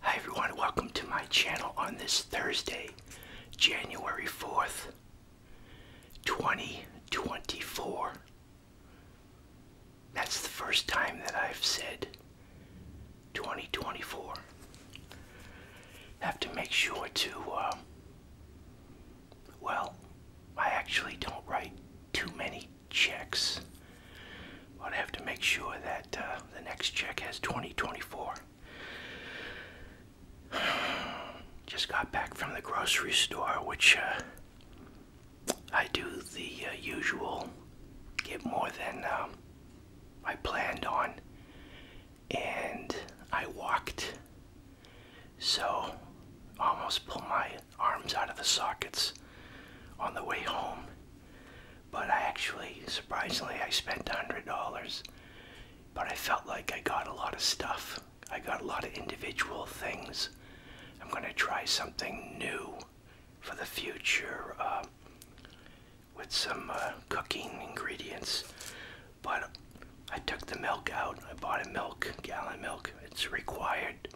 Hi everyone, welcome to my channel on this Thursday, January 4th, 2024. That's the first time that I've said 2024. Have to make sure to, uh, well, I actually don't write too many checks. But I have to make sure that uh, the next check has 2024. Just got back from the grocery store, which uh, I do the uh, usual get more than um, I planned on. And I walked, so almost pulled my arms out of the sockets on the way home. But I actually, surprisingly, I spent $100. But I felt like I got a lot of stuff. I got a lot of individual things. I'm going to try something new for the future uh, with some uh, cooking ingredients. But I took the milk out. I bought a milk, gallon milk. It's required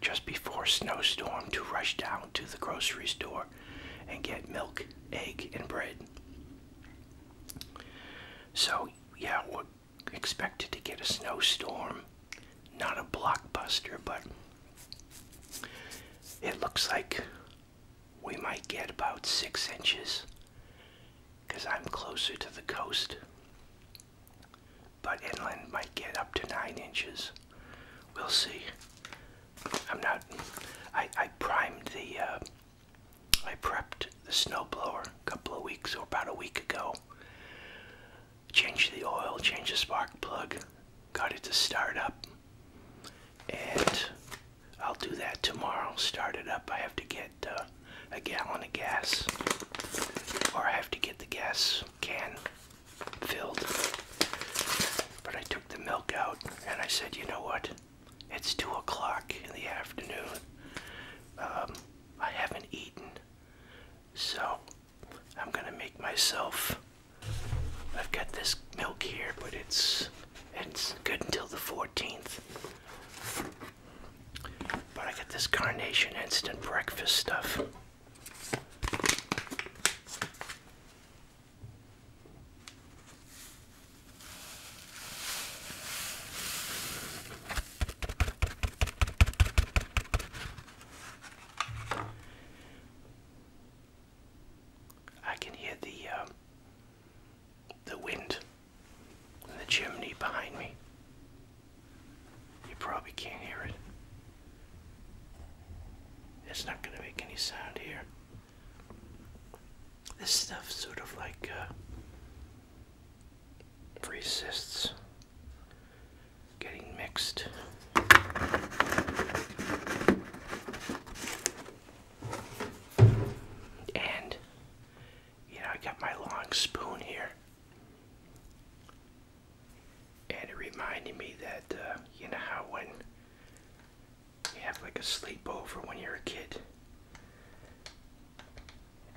just before snowstorm to rush down to the grocery store and get milk, egg, and bread. So, yeah, we're expected to get a snowstorm. Not a blockbuster, but it looks like we might get about six inches because I'm closer to the coast but inland might get up to nine inches. We'll see. I'm not. I, I primed the. Uh, I prepped the snowblower a couple of weeks or about a week ago. Changed the oil, changed the spark plug, got it to start up, and I'll do that tomorrow. Start it up. I have to get uh, a gallon of gas, or I have to get the gas can filled. But I took the milk out and I said, you know what? It's 2 o'clock in the afternoon. Um, I haven't eaten. So I'm going to make myself. I've got this milk here, but it's it's good until the 14th. But I got this Carnation Instant Breakfast stuff. I can hear the um, the wind in the chimney behind me. You probably can't hear it. It's not gonna make any sound here. This stuff's sort of like uh, free getting mixed. And you know, I got my long spoon here. And it reminded me that, uh, you know, how when you have like a sleepover when you're a kid,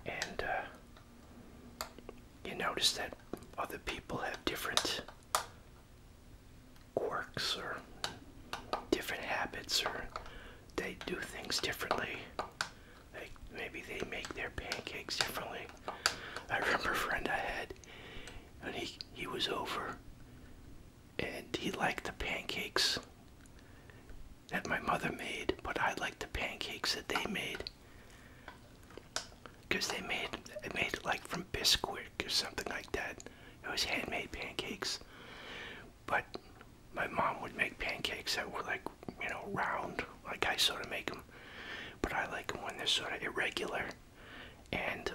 and uh, you notice that other people have different quirks or different habits or they do things differently. Like maybe they make their pancakes differently. I remember a friend I had, and he he was over and he liked the pancakes that my mother made, but I liked the pancakes that they made because they made it made like from Bisquick or something like that. It was handmade pancakes, but my mom would make pancakes that were like you know round, like I sort of make them, but I like them when they're sort of irregular and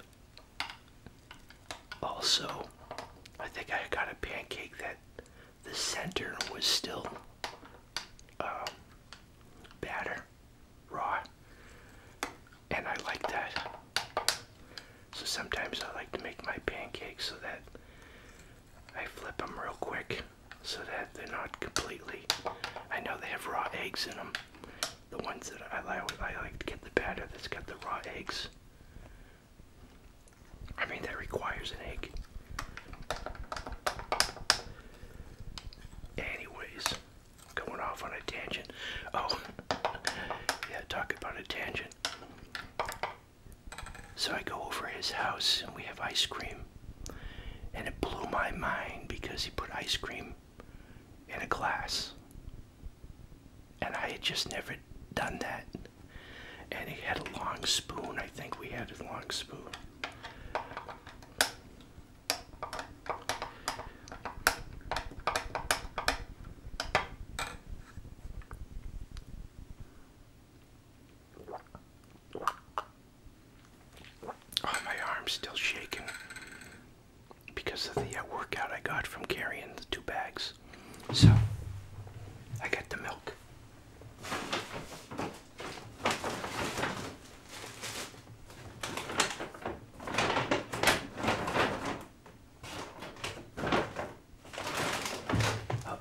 also I think I got a pancake that the center was still um, batter raw and I like that so sometimes I like to make my pancakes so that I flip them real quick so that they're not completely I know they have raw eggs in them the ones that I like, I like to get the batter that's got the raw eggs. I mean, that requires an egg. Anyways, going off on a tangent. Oh, yeah, talk about a tangent. So I go over his house and we have ice cream. And it blew my mind because he put ice cream in a glass, And I had just never done that. And he had a long spoon. I think we had a long spoon. Oh, my arm's still shaking because of the uh, workout I got from carrying the two bags. So, I got the milk.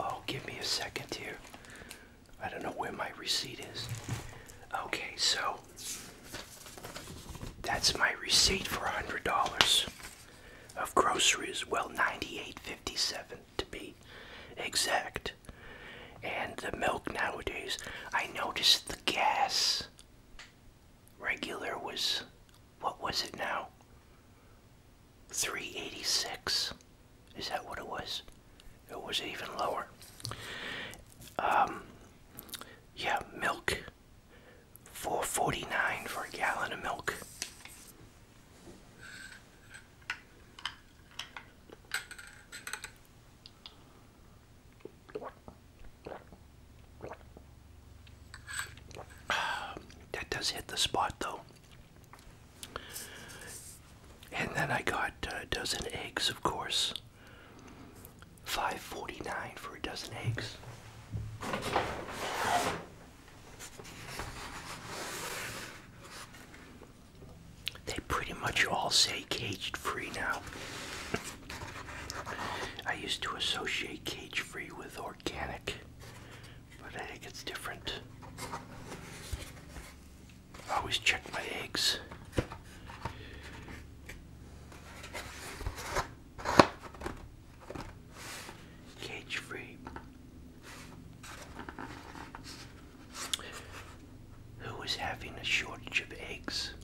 oh, give me a second here. I don't know where my receipt is. Okay, so that's my receipt for $100 of groceries, well, 98 dollars to be exact. And the milk nowadays, I noticed the gas regular was, what was it now? 386 Is that what it was? It was even lower. Um, yeah, milk. Four forty nine for a gallon of milk. That does hit the spot though. And then I got uh, a dozen eggs, of course. 549 for a dozen eggs. They pretty much all say cage free now. I used to associate cage free with organic, but I think it's different. always check my eggs. Cage free. Who is having a shortage of eggs?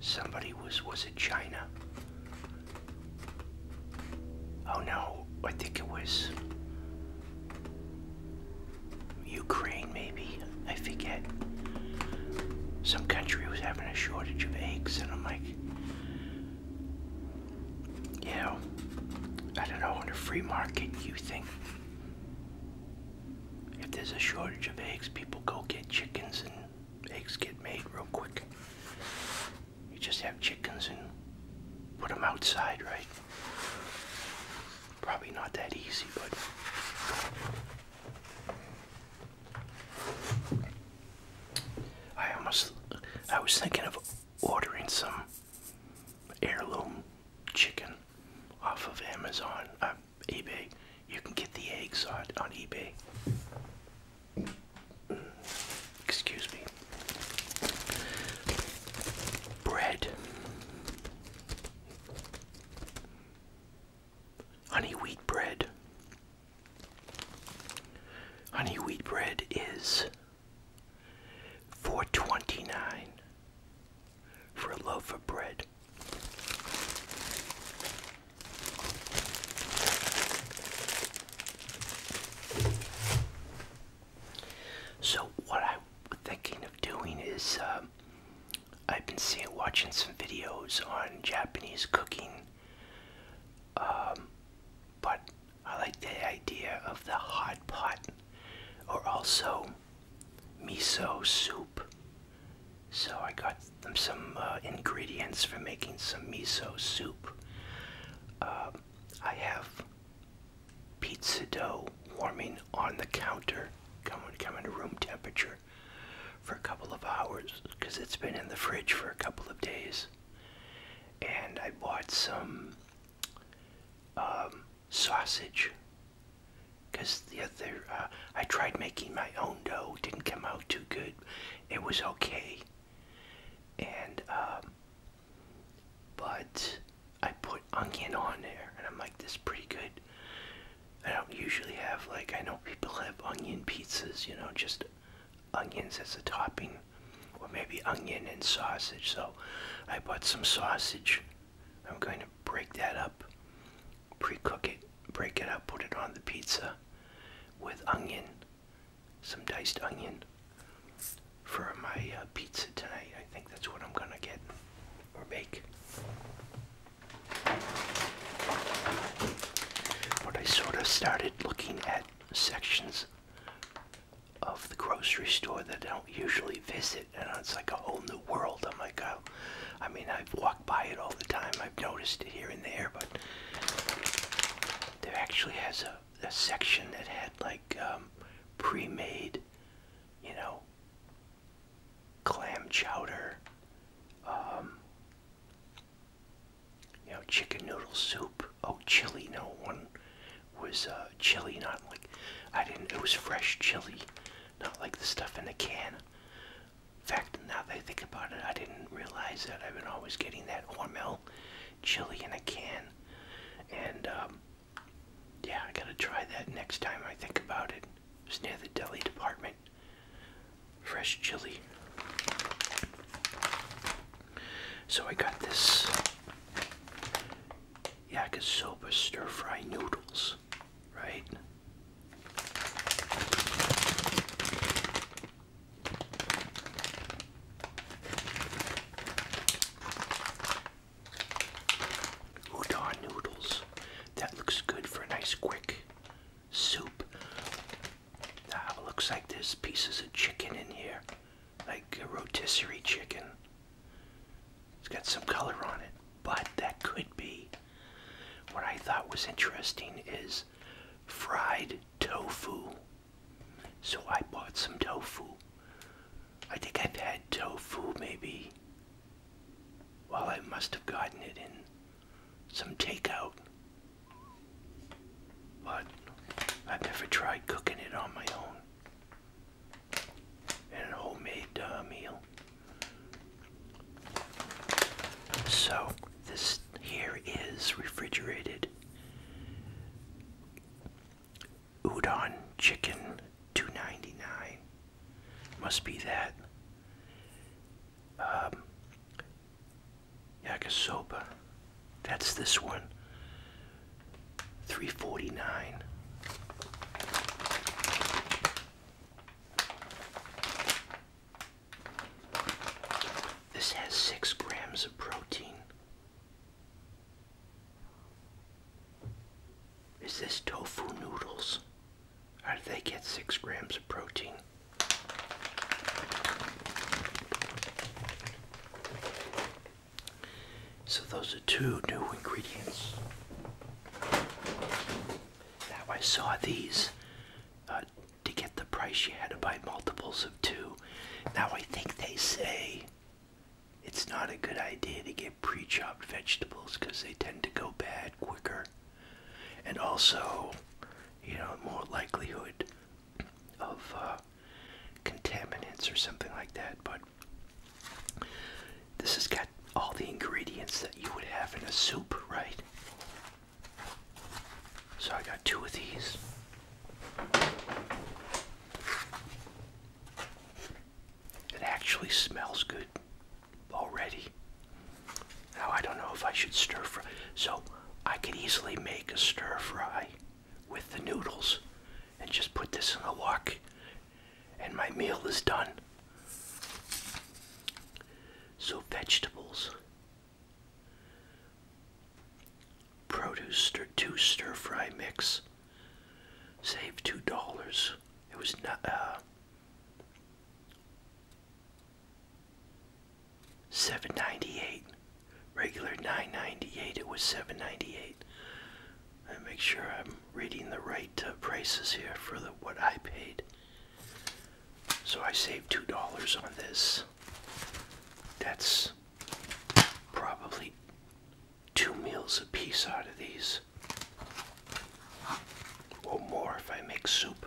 Somebody was, was it China? Oh no, I think it was Ukraine, maybe. I forget. Some country was having a shortage of eggs, and I'm like, you know, I don't know, in the free market, you think if there's a shortage of eggs, people go get chickens and eggs get made real quick. You just have chickens and put them outside, right? Probably not that easy, but I almost I was thinking of ordering some heirloom chicken off of Amazon, uh, eBay. You can get the eggs on on eBay. Excuse me. Bread. Honey wheat bread. Honey wheat bread is four twenty nine for a loaf of bread. So what I'm thinking of doing is um, I've been seeing, watching some videos on Japanese cooking, um, but I like the idea of the hot pot, or also miso soup. So I got them some uh, ingredients for making some miso soup. Uh, I have pizza dough warming on the counter, coming to room temperature for a couple of hours because it's been in the fridge for a couple of days. And I bought some um, sausage because the other uh, I tried making my own dough, didn't come out too good. It was okay, and um, but I put onion on there, and I'm like, this is pretty good. I don't usually have, like, I know people have onion pizzas, you know, just onions as a topping, or maybe onion and sausage. So I bought some sausage. I'm going to break that up, pre cook it, break it up, put it on the pizza with onion, some diced onion for my uh, pizza tonight. I think that's what I'm gonna get or bake, But I sort of started looking at sections of the grocery store that I don't usually visit, and it's like a whole new world. I'm like, oh, I mean, I've walked by it all the time. I've noticed it here and there, but there actually has a, section that had like um, pre-made, you know, clam chowder, um, you know, chicken noodle soup. Oh, chili! No one was uh, chili, not like I didn't. It was fresh chili, not like the stuff in a can. In fact, now that I think about it, I didn't realize that I've been always getting that Hormel chili in a can, and um, yeah, I gotta try that next time I think about it. It's near the deli department. Fresh chili. So I got this yakisoba stir fry noodles, right? Udon noodles. That looks good for a nice quick soup. Ah, looks like there's pieces of chicken in here, like a rotisserie chicken. It's got some color on it, but that could be. What I thought was interesting is fried tofu. So I bought some tofu. I think I've had tofu maybe well, I must have gotten it in some takeout. But I've never tried cooking it on my own. And a homemade uh, meal. So, this here is refrigerated udon chicken 299 must be that. Um, Yakisoba. That's this one. 349. This has six grams of protein is this tofu noodles. How do they get six grams of protein? So those are two new ingredients. Now I saw these uh, to get the price you had to buy multiples of two. Now I think they say it's not a good idea to get pre chopped vegetables because they tend to go bad quicker. And also, you know, more likelihood of uh, contaminants or something like that. But this has got all the ingredients that you would have in a soup, right? So I got two of these. It actually smells good already. Now I don't know if I should stir fry. So I could easily make a stir fry with the noodles and just put this in a wok and my meal is done. So vegetables. Produce stir two stir fry mix. Save two dollars. It was not uh, 798 regular 998 it was 798 I make sure I'm reading the right uh, prices here for what I paid so I saved two dollars on this that's probably two meals a piece out of these or more if I make soup.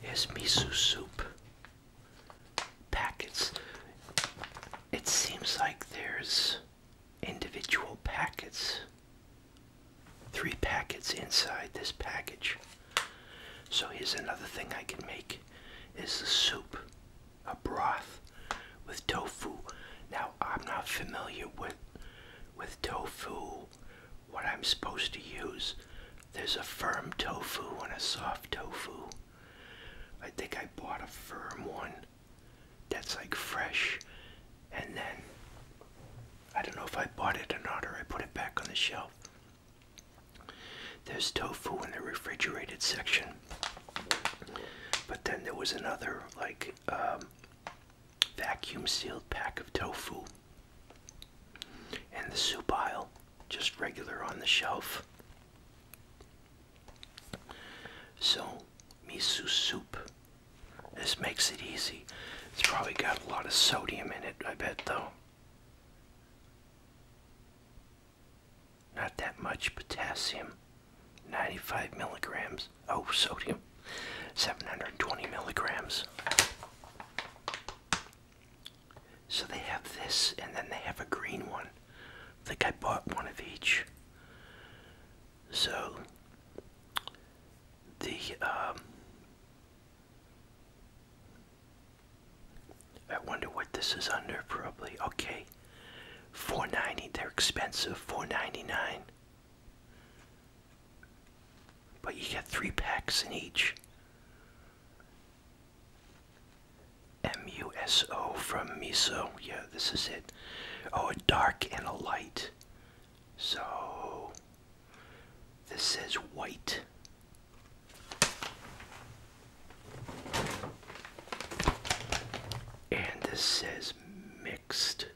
Here's miso soup packets. It seems like there's individual packets, three packets inside this package. So here's another thing I can make is a soup, a broth with tofu. Now I'm not familiar with with tofu, what I'm supposed to use. There's a firm tofu and a soft tofu. I think I bought a firm one that's like fresh and then I don't know if I bought it or not or I put it back on the shelf. There's tofu in the refrigerated section. But then there was another, like, um, vacuum sealed pack of tofu. And the soup aisle, just regular on the shelf. So, miso soup. This makes it easy. It's probably got a lot of sodium in it, I bet, though. Not that much potassium, 95 milligrams. Oh, sodium, 720 milligrams. So they have this, and then they have a green one. I think I bought one of each. So the um, I wonder what this is under probably. Okay. 490, they're expensive, 499. But you get three packs in each. MUSO from Miso. Yeah, this is it. Oh, a dark and a light. So, this is white. And this says mixed.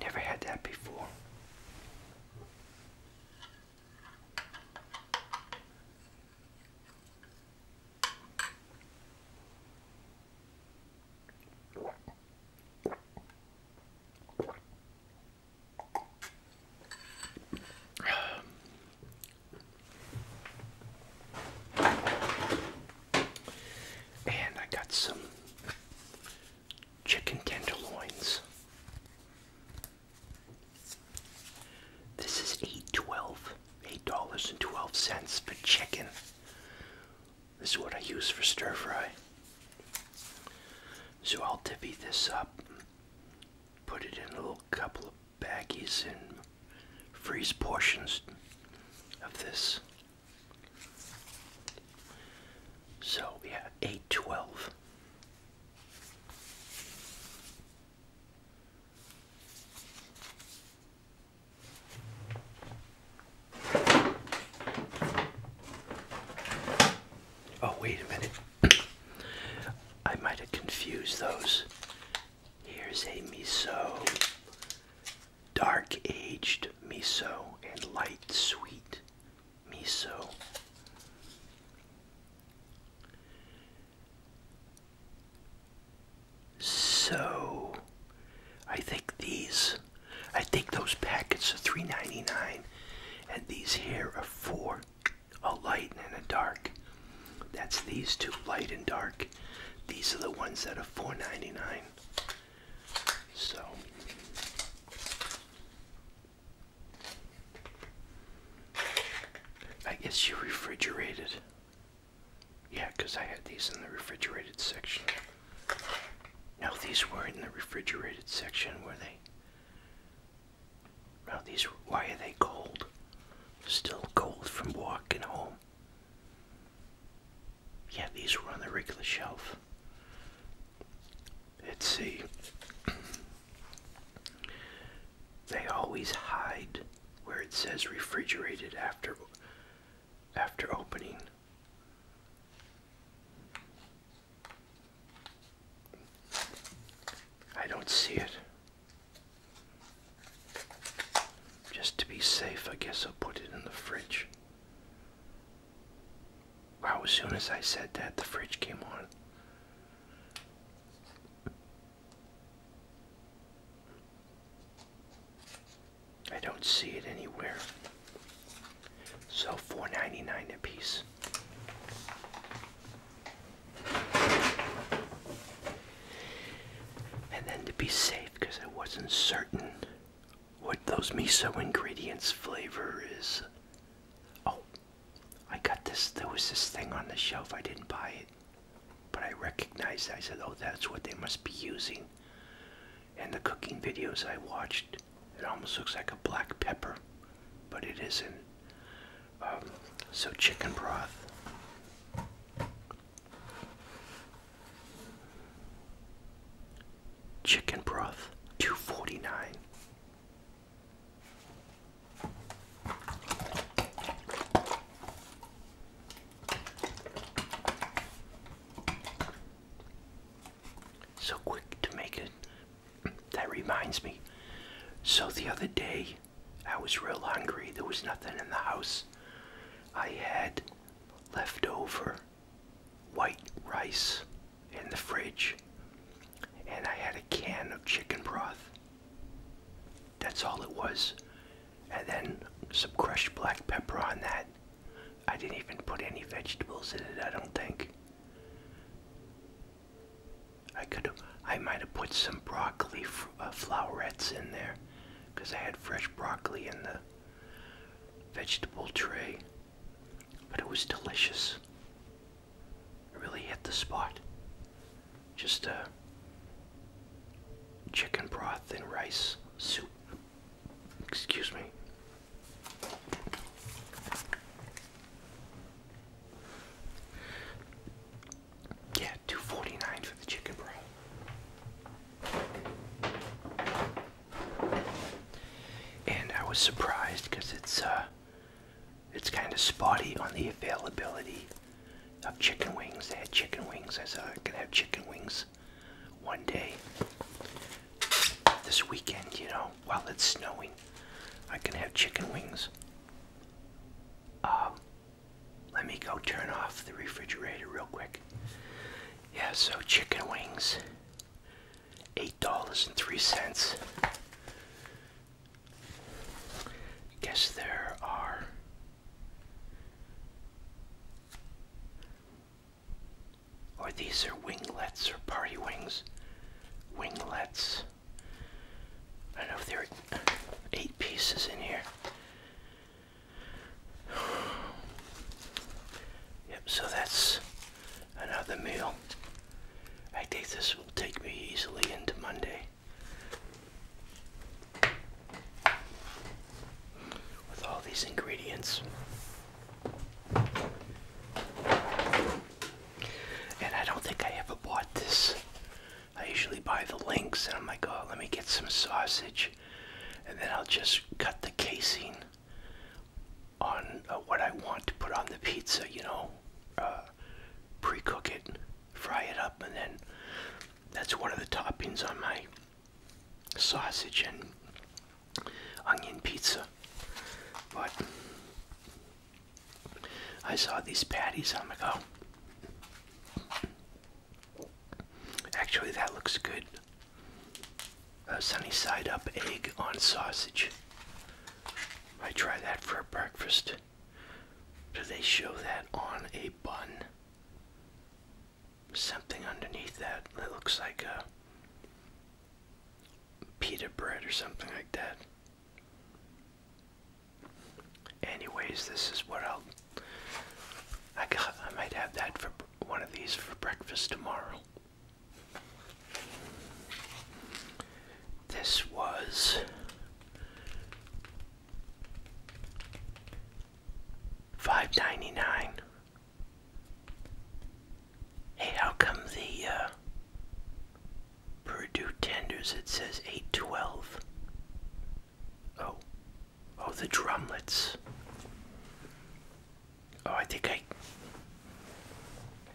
Never had that before. And I got some chicken tenderloins. This is $8.12, dollars 12 for chicken. This is what I use for stir fry. So I'll divvy this up, put it in a little couple of baggies and freeze portions of this. So yeah, eight twelve. Oh, wait a minute. I might have confused those. Here's a miso dark aged miso and light sweet miso. So I think these I think those packets are three ninety nine and these here are four a light and a dark. That's these two light and dark. These are the ones that are four ninety nine. So I guess you refrigerated. Yeah, because I had these in the refrigerated section. Now these weren't in the refrigerated section, were they? Now these, why are they cold? Still cold from walking home yeah, these were on the regular shelf. Let's see. they always hide where it says refrigerated after after opening. I don't see it. Just to be safe, I guess I'll put it in the fridge. Wow, as soon as I said that, the fridge came on. I don't see it anywhere. So four ninety nine a piece. And then to be safe, because I wasn't certain what those miso ingredients flavor is. Oh, I got this. There was this thing on the shelf. I didn't buy it, but I recognized I said, oh, that's what they must be using. In the cooking videos I watched, it almost looks like a black pepper, but it isn't. Um, so, chicken broth. Chicken broth, two forty nine. So quick to make it. That reminds me. So the other day, I was real hungry. There was nothing in the house. I had left over white rice in the fridge, and I had a can of chicken broth. That's all it was. And then some crushed black pepper on that. I didn't even put any vegetables in it, I don't think. I could have, I might have put some broccoli uh, flowerets in there because I had fresh broccoli in the vegetable tray, but it was delicious. really hit the spot. Just a chicken broth and rice soup. Excuse me. Yeah, two forty nine for the chicken broth and I was surprised because it's uh, it's kind of spotty on the availability of chicken wings. They had chicken wings. I said I could have chicken wings one day this weekend. You know, while it's snowing, I can have chicken wings. Um, let me go turn off the refrigerator real quick yeah, so chicken wings, $8.03. Guess there are or these are winglets or party wings. Winglets. I don't know if there are eight pieces in here. Yep, so that's another meal. I think this will take me easily into Monday. With all these ingredients. And I don't think I ever bought this. I usually buy the links and I'm like, oh, let me get some sausage. And then I'll just cut the casing on uh, what I want to put on the pizza, you know, uh, pre cook it, fry it up, and then that's one of the toppings on my sausage and onion pizza. But I saw these patties on the go. Actually, that looks good a sunny side up egg on sausage. I try that for breakfast. Do they show that on a bun? Something underneath that that looks like a pita bread or something like that. Anyways, this is what I'll I, got, I might have that for one of these for breakfast tomorrow. This was five ninety nine. Hey, how come the uh, Purdue tenders it says eight twelve? Oh, Oh, the drumlets. Oh, I think I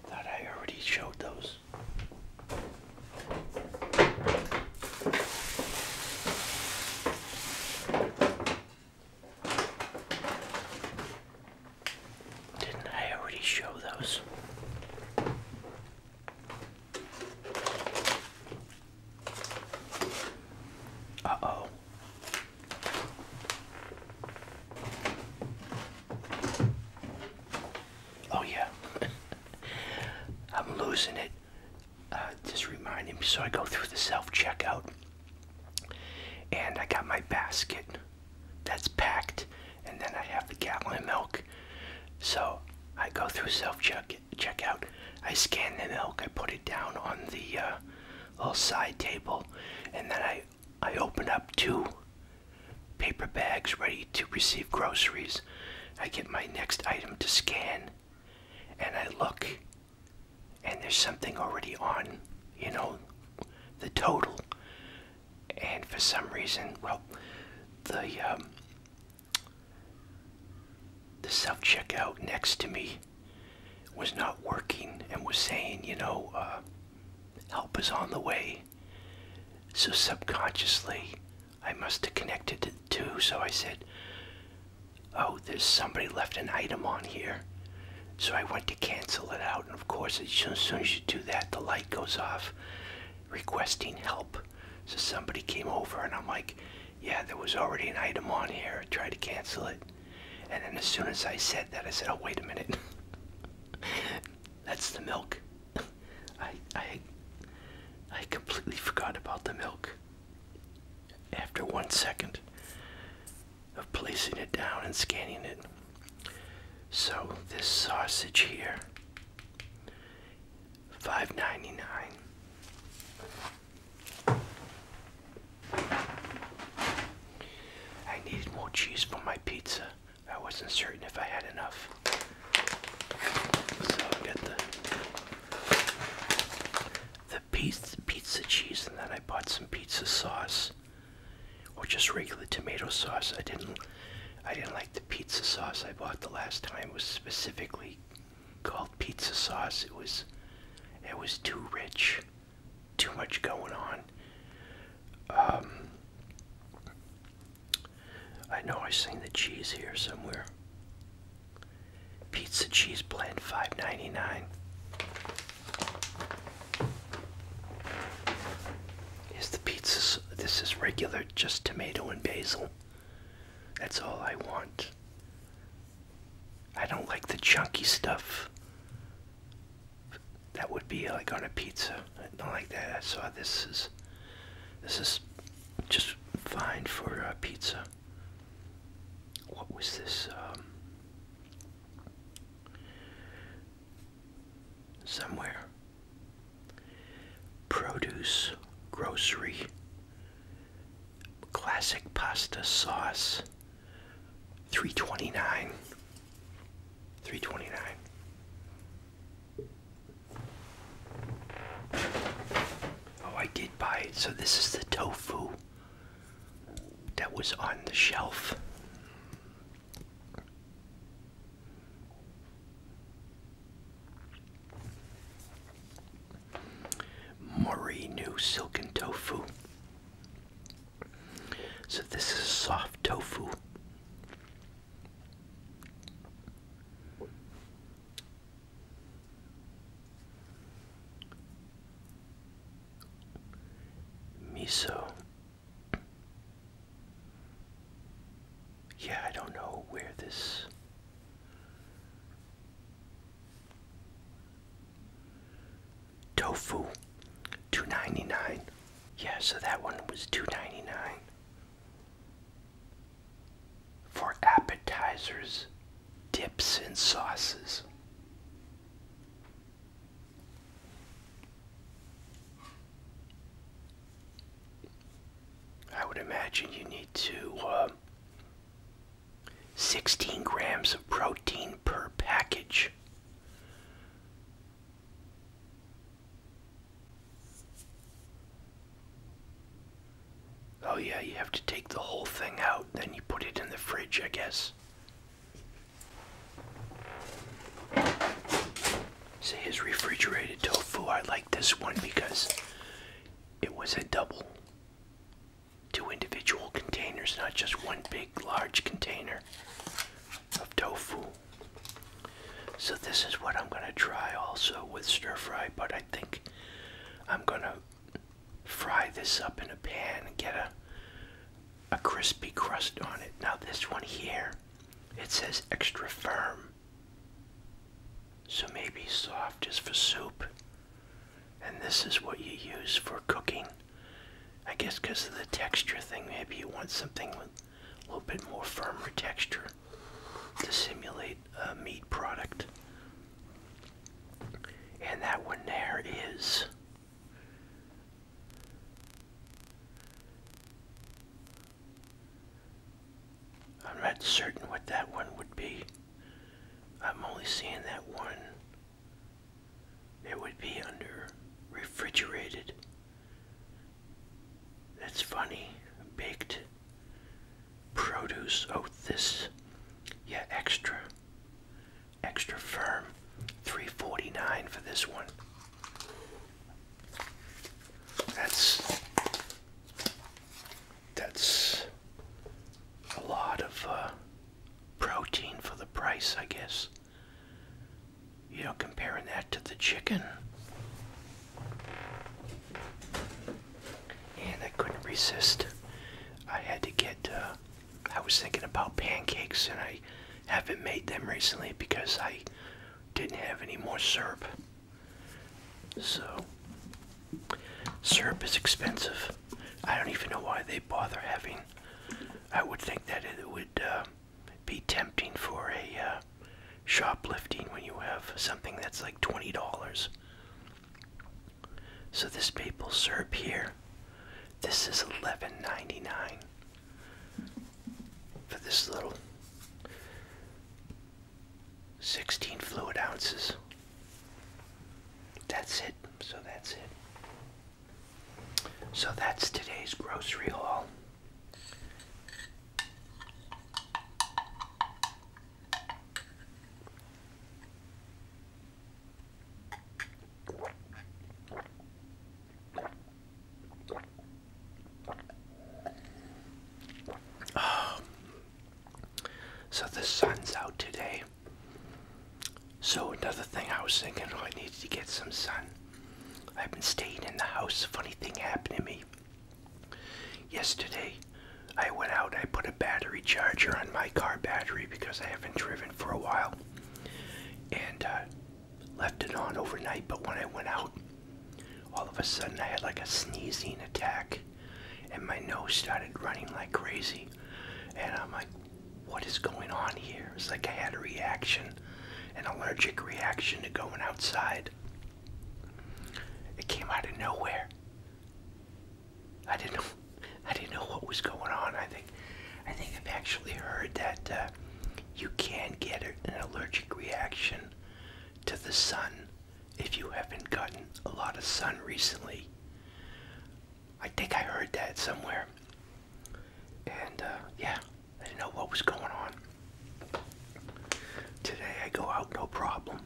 thought I already showed those. Didn't I already show those? Uh oh. Oh yeah, I'm losing it. Uh, just reminding me, so I go through the self-checkout, and I got my basket that's packed, and then I have the gallon of milk. So I go through self-checkout. I scan the milk. I put it down on the uh, little side table, and then I I opened up two paper bags ready to receive groceries. I get my next item to scan, and I look, and there's something already on, you know, the total. And for some reason, well, the um, the self checkout next to me was not working and was saying, you know, uh, help is on the way. So subconsciously, I must have connected the two. So I said, oh, there's somebody left an item on here. So I went to cancel it out. And of course, as soon, as soon as you do that, the light goes off requesting help. So somebody came over and I'm like, yeah, there was already an item on here. I tried to cancel it. And then as soon as I said that, I said, oh, wait a minute. That's the milk. I, I, I completely forgot about the milk. After one second of placing it down and scanning it. So this sausage here, five ninety nine. I needed more cheese for my pizza. I wasn't certain if I had enough. So I got the the pizza, pizza cheese, and then I bought some pizza sauce, or just regular tomato sauce. I didn't, I didn't like the pizza sauce I bought the last time. It was specifically called pizza sauce. It was, it was too rich too much going on. Um, I know I seen the cheese here somewhere. Pizza cheese blend, five ninety nine. Is the pizza? This is regular, just tomato and basil. That's all I want. I don't like the chunky stuff. That would be like on a pizza. I don't like that. So this is this is just fine for a pizza. What was this? Um, somewhere. Produce, grocery, classic pasta sauce. 329 329 Oh, I did buy it. So this is the tofu that was on the shelf. Mori new silken tofu. So this is soft tofu. Miso. Yeah, I don't know where this tofu, two ninety nine. Yeah, so that one was two ninety nine. For appetizers, dips, and sauces. I would imagine you need to uh, 16 grams of protein per package. Oh, yeah, you have to take the whole thing out, then you put it in the fridge, I guess. See, his refrigerated tofu, I like this one because it was a double two individual containers, not just one big large container of tofu. So this is what I'm going to try also with stir fry, but I think I'm going to fry this up in a pan and get a a crispy crust on it. Now this one here, it says extra firm. So maybe soft is for soup. And this is what you use for cooking I guess because of the texture thing, maybe you want something with a little bit more firmer texture to simulate a meat product. And that one there is I'm not certain what that one would be. I'm only seeing that one it would be under refrigerated. That's funny. Baked produce. Oh, this. Yeah, extra. Extra firm. 349 for this one. That's that's a lot of uh, protein for the price, I guess. You know, comparing that to the chicken. And I couldn't resist. I had to get, uh, I was thinking about pancakes and I haven't made them recently because I didn't have any more syrup. So, syrup is expensive. I don't even know why they bother having. I would think that it would uh, be tempting for a uh, shoplifting when you have something that's like twenty dollars. So this maple syrup here, this is eleven ninety nine for this little sixteen fluid ounces. That's it. So that's it. So that's today's grocery haul. Oh. So the sun's out today. So another thing I was thinking, oh, I needed to get some sun. I've been staying in the house. Funny thing happened to me. Yesterday, I went out. I put a battery charger on my car battery because I haven't driven for a while, and uh, left it on overnight. But when I went out, all of a sudden I had like a sneezing attack, and my nose started running like crazy. And I'm like, what is going on here? It's like I had a reaction, an allergic reaction to going outside. It came out of nowhere. I didn't know. I didn't know what was going on. I think, I think I've actually heard that uh, you can get an allergic reaction to the sun if you haven't gotten a lot of sun recently. I think I heard that somewhere. And uh, yeah, I didn't know what was going on. Today I go out no problem.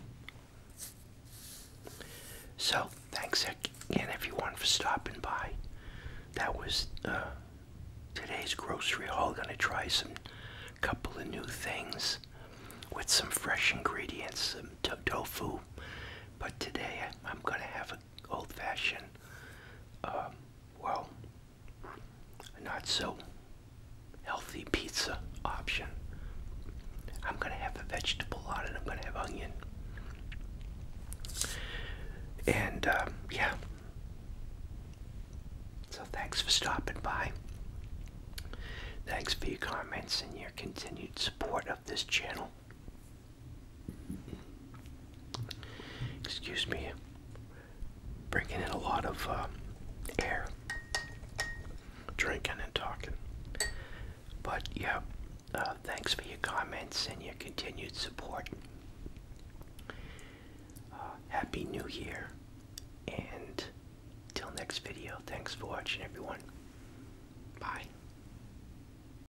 So thanks again everyone for stopping by. That was uh, today's grocery haul. Gonna try some couple of new things with some fresh ingredients, some tofu. But today I'm gonna have a old fashioned, um, well, not so healthy pizza option. I'm going to have a vegetable on it, I'm going to have onion. And um, yeah. So thanks for stopping by. Thanks for your comments and your continued support this channel. Excuse me, bringing in a lot of uh, air, drinking and talking. But yeah, uh, thanks for your comments and your continued support. Uh, Happy New Year, and till next video, thanks for watching, everyone. Bye.